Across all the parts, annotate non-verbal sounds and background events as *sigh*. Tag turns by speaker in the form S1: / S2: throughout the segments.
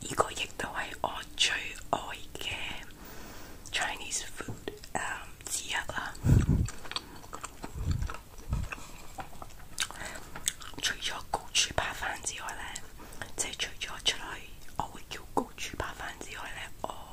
S1: 呢個亦都係我最愛嘅 Chinese food 誒、um, 之一啦。除咗焗住扒飯之外咧，即係除咗出去我會叫焗住扒飯之外咧，我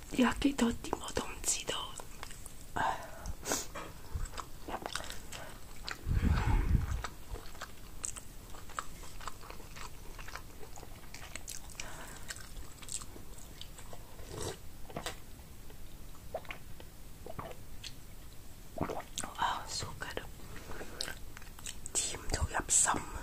S1: 有幾多點我都唔知道。Oh, so good. 甜到入心啊！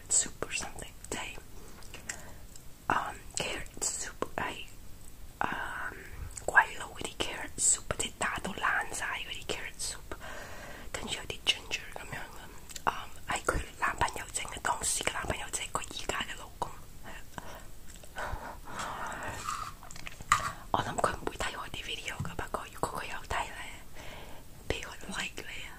S1: carrot soup or something today. Um, carrot soup, I um, quello di carrot soup, dettato lanzai di carrot soup，跟住有啲 ginger 咁樣嘅，係佢男朋友整嘅，當時嘅男朋友即係佢而家嘅老公。我諗佢唔會睇我啲 um, video 噶，不過如果佢有睇咧，俾個 eh, like 你啊！Eh.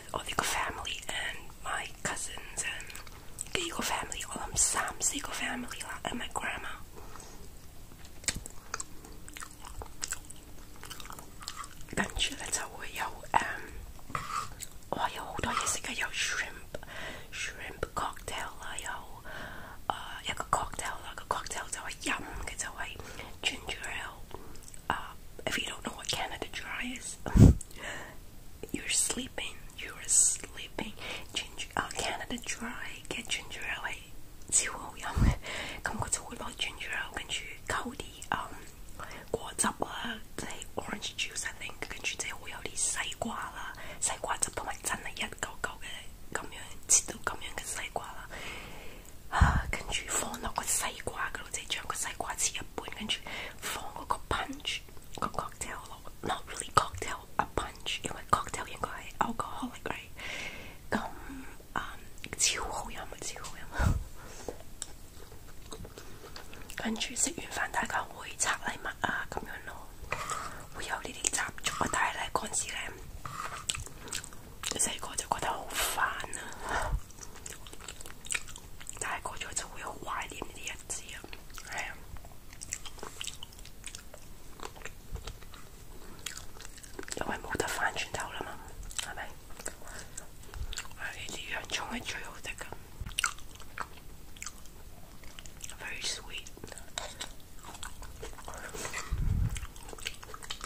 S1: with Odiko family and my cousins and Gigo family, all them Sam's Gigo family and my grandma. Um, oh, oh, shrimp shrimp cocktail uh, cocktail cocktail ginger ale uh, if you don't know what Canada Dry is, *laughs* you're sleeping. You're sleeping. Ginger, uh, Canada Dry, get ginger ale. 超好飲嘅，咁佢就會攞 *laughs* ginger ale，跟住溝啲嗯果汁啊，即係 um, orange juice 定，跟住即係會有啲西瓜啦、西瓜汁同埋真係一嚿嚿嘅咁樣切到咁樣嘅西瓜啦，啊，跟住放落個西瓜嗰度，即係將個西瓜切一半，跟住放嗰個 punch 個 cocktail 落，not really cocktail a punch，因為 cocktail 應該係 alcoholic right？咁啊、嗯，超好飲啊，超好飲啊！跟住食完飯，大家會拆禮物啊，咁樣咯，會有呢啲習俗啊。但係咧嗰陣時咧，細個就覺得好煩啊，大個咗就會好懷念呢啲日子啊，係啊。因為冇得翻轉頭啦嘛，係咪？呢啲洋葱係最好食噶，very sweet。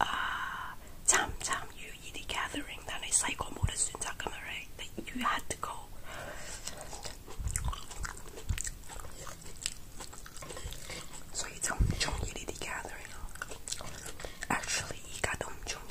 S1: uh, time time UED gathering then a psychomotor syntagma right that you had to go so you it's um Jung UED gathering actually he got um Jung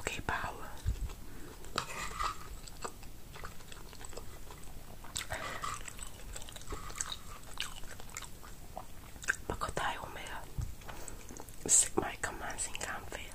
S1: Okay, power. Pacotai o meu. Sigma commands in Campfield.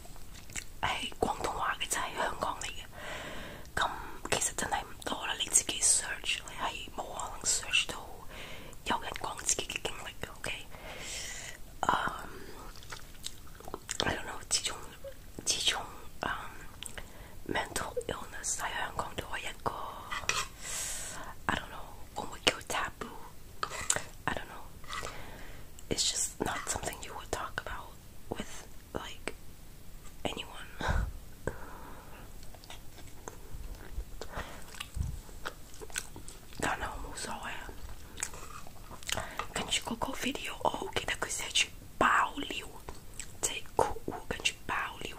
S1: 係廣東話嘅，就係香港嚟嘅。咁其實真係唔多啦，你自己 search 你係冇可能 search 到有人講自己嘅經歷嘅。OK，嗯、um,，I don't know，自從自從、um, mental illness 喺香港都係一個，I don't know，會唔會叫 taboo？I don't know，it's just not something you would talk about with like anyone. Tá na almoçol é. A gente colocou video ou que da coisa de Pauliu. Take o ganji Pauliu,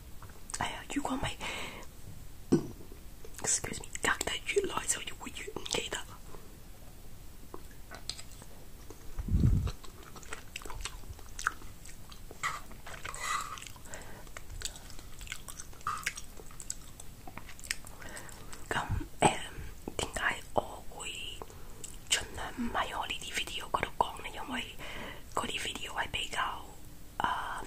S1: 哎呀，如果唔係，excuse me，隔得越耐就越會越唔記得。咁誒點解我會盡量唔喺我呢啲 video 嗰度講呢？因為嗰啲 video 係比較啊、呃、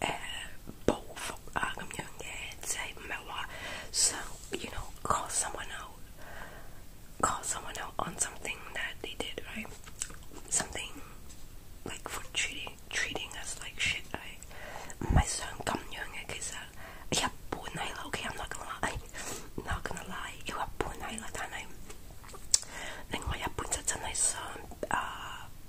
S1: 誒報復啊咁樣嘅，即係唔係話想，you eh, know call someone out, call someone out on something that they did, right? Something like for treating treating us like shit, right? 唔係想咁樣嘅，其實一半係啦，OK，I'm uh, not gonna liei *laughs*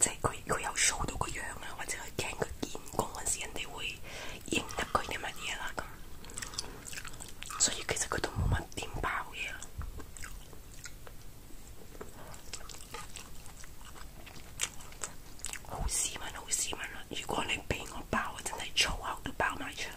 S1: 即係佢佢有 show 到個樣啊，或者佢驚佢見工嗰陣時，人哋會認得佢啲乜嘢啦咁。所以其實佢都冇乜點爆嘢。好斯文，好斯文啦！如果你俾我爆，真係粗口都爆埋出嚟。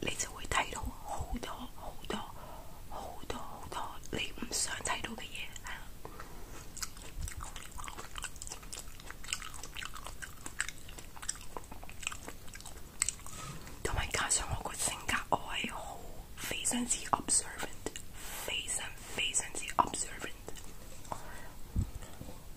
S1: 你就會睇到好多好多好多好多你唔想睇到嘅嘢，係啦。同埋加上我個性格，我係好非常之 observant，非常非常之 observant。